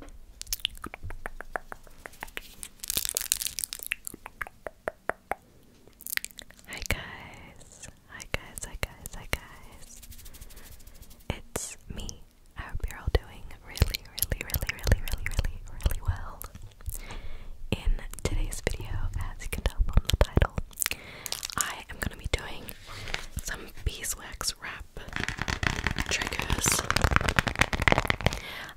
Hi guys, hi guys, hi guys, hi guys. It's me. I hope you're all doing really, really, really, really, really, really, really well. In today's video, as you can tell from the title, I am going to be doing some beeswax box wrap triggers.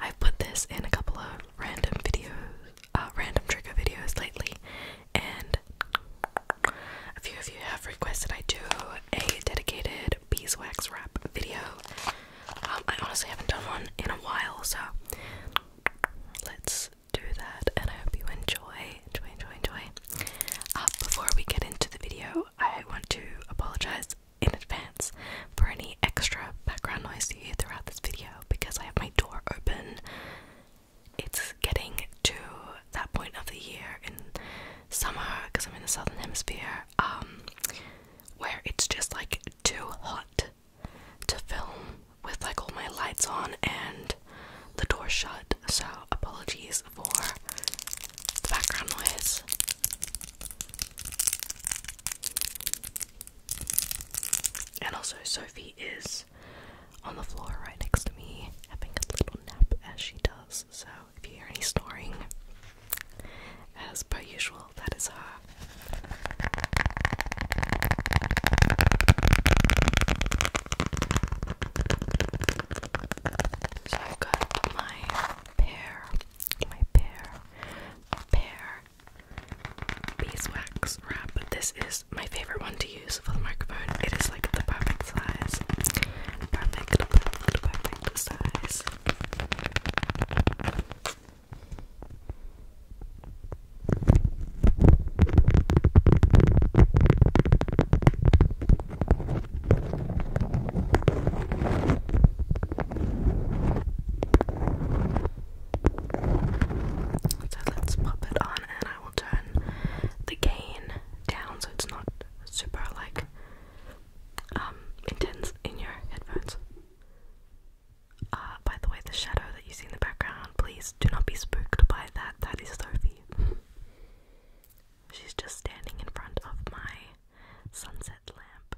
I've put this in a couple of random videos, uh, random trigger videos lately, and a few of you have requested I do a dedicated beeswax wrap video. Um, I honestly haven't done one in a while, so let's do that. And I hope you enjoy, enjoy, enjoy, enjoy. Uh, before we get into the video, I want to apologize in advance for any extra background noise you hear throughout this video because I have my door open. It's getting to that point of the year in summer because I'm in the southern hemisphere um, where it's just like too hot to film with like all my lights on and the door shut. So apologies for the background noise. And also, Sophie is on the floor right next to me, having a little nap as she does. So, if you hear any snoring, as per usual, that is her. So, i got my pear, my pear, my beeswax wrap. This is my favorite one to use for the microphone. It is like the perfect size. Perfect, perfect, perfect size. So let's pop it on, and I will turn the gain down so it's not super like um, intense in your headphones. Uh, by the way, the shadow that you see in the background, please do not be spooked by that. That is Sophie. She's just standing in front of my sunset lamp.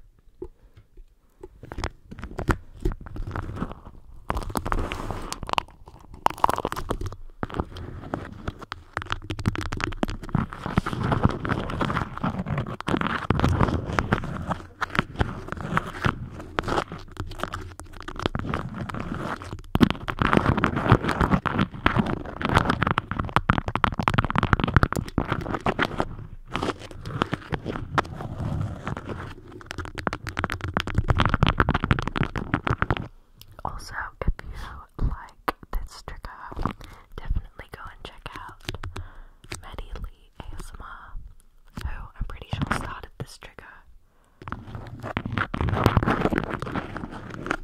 Also, if you like this trigger, definitely go and check out Maddie ASMR, who oh, I'm pretty sure started this trigger.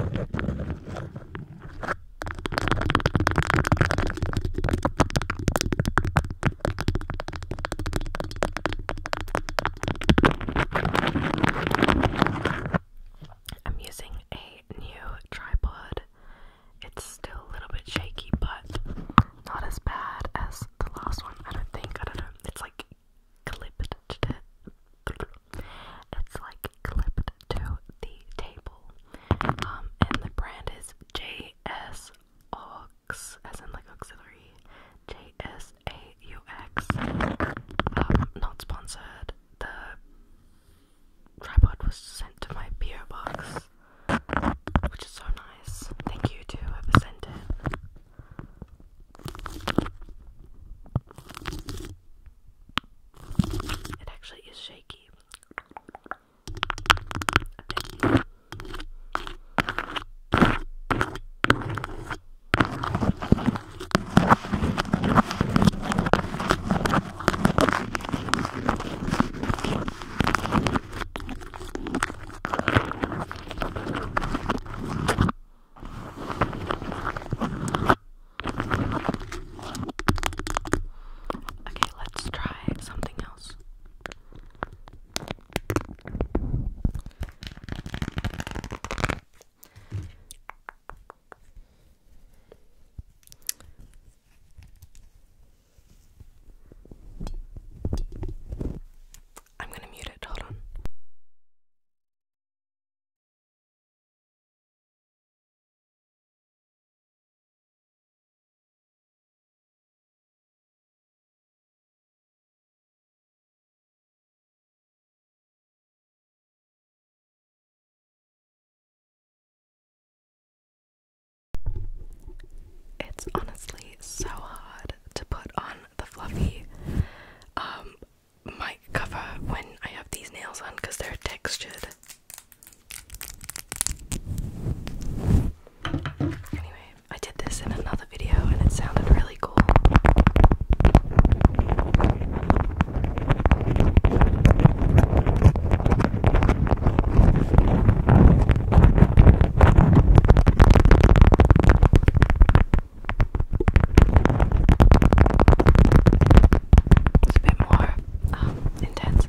I'm using a new tripod. It's still a little bit shaky, but not as bad as the last one. I don't think. I don't know. It's like clipped to it. It's like clipped to the table. Um, and the brand is JS as in like auxiliary. JSAUX. Um, not sponsored. The tripod was sent to my PO box, which is so nice. Thank you to whoever sent it. It actually is shaky. Okay. Okay, let's try something else. I'm going to mute it, hold on. It's honestly so hard to put on the fluffy. Um, mic cover when I have these nails on because they're textured. Anyway, I did this in another video and it sounded really cool. It's a bit more um, intense.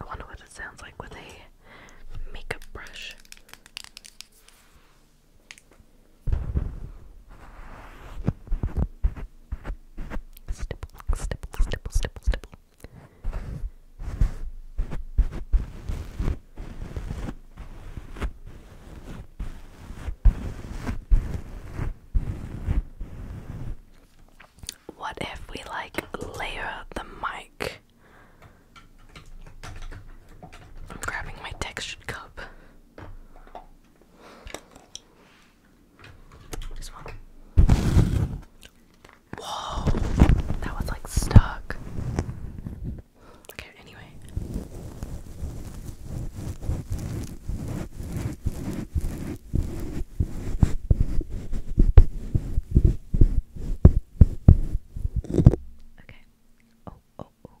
I wonder what it sounds like with a makeup brush. Stipple, stipple, stipple, stipple, stipple. What if we like layer the mic? I'm grabbing my textured cup. Just one. Whoa, that was like stuck. Okay, anyway. Okay. Oh, oh, oh.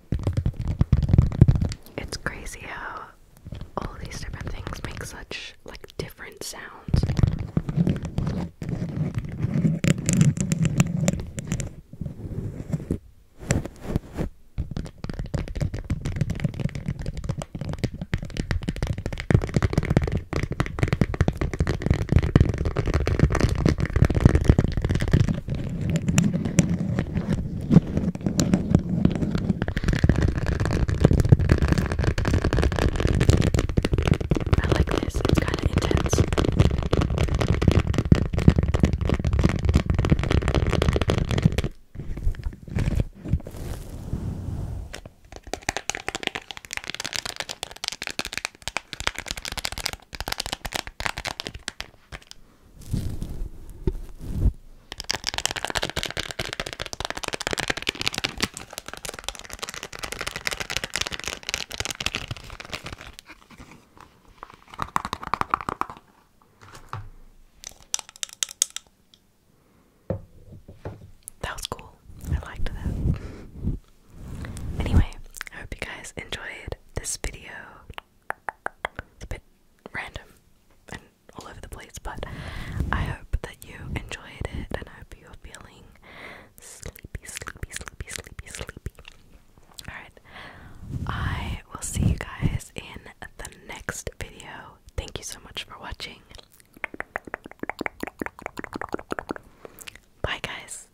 It's crazy how all these different things make such like different sounds. I like this, it's kind of intense. That was cool. I liked that. anyway, I hope you guys enjoyed this video. It's a bit random and all over the place, but I hope that you enjoyed it and hope you're feeling sleepy, sleepy, sleepy, sleepy, sleepy. Alright, I will see you guys in the next video. Thank you so much for watching. Bye, guys.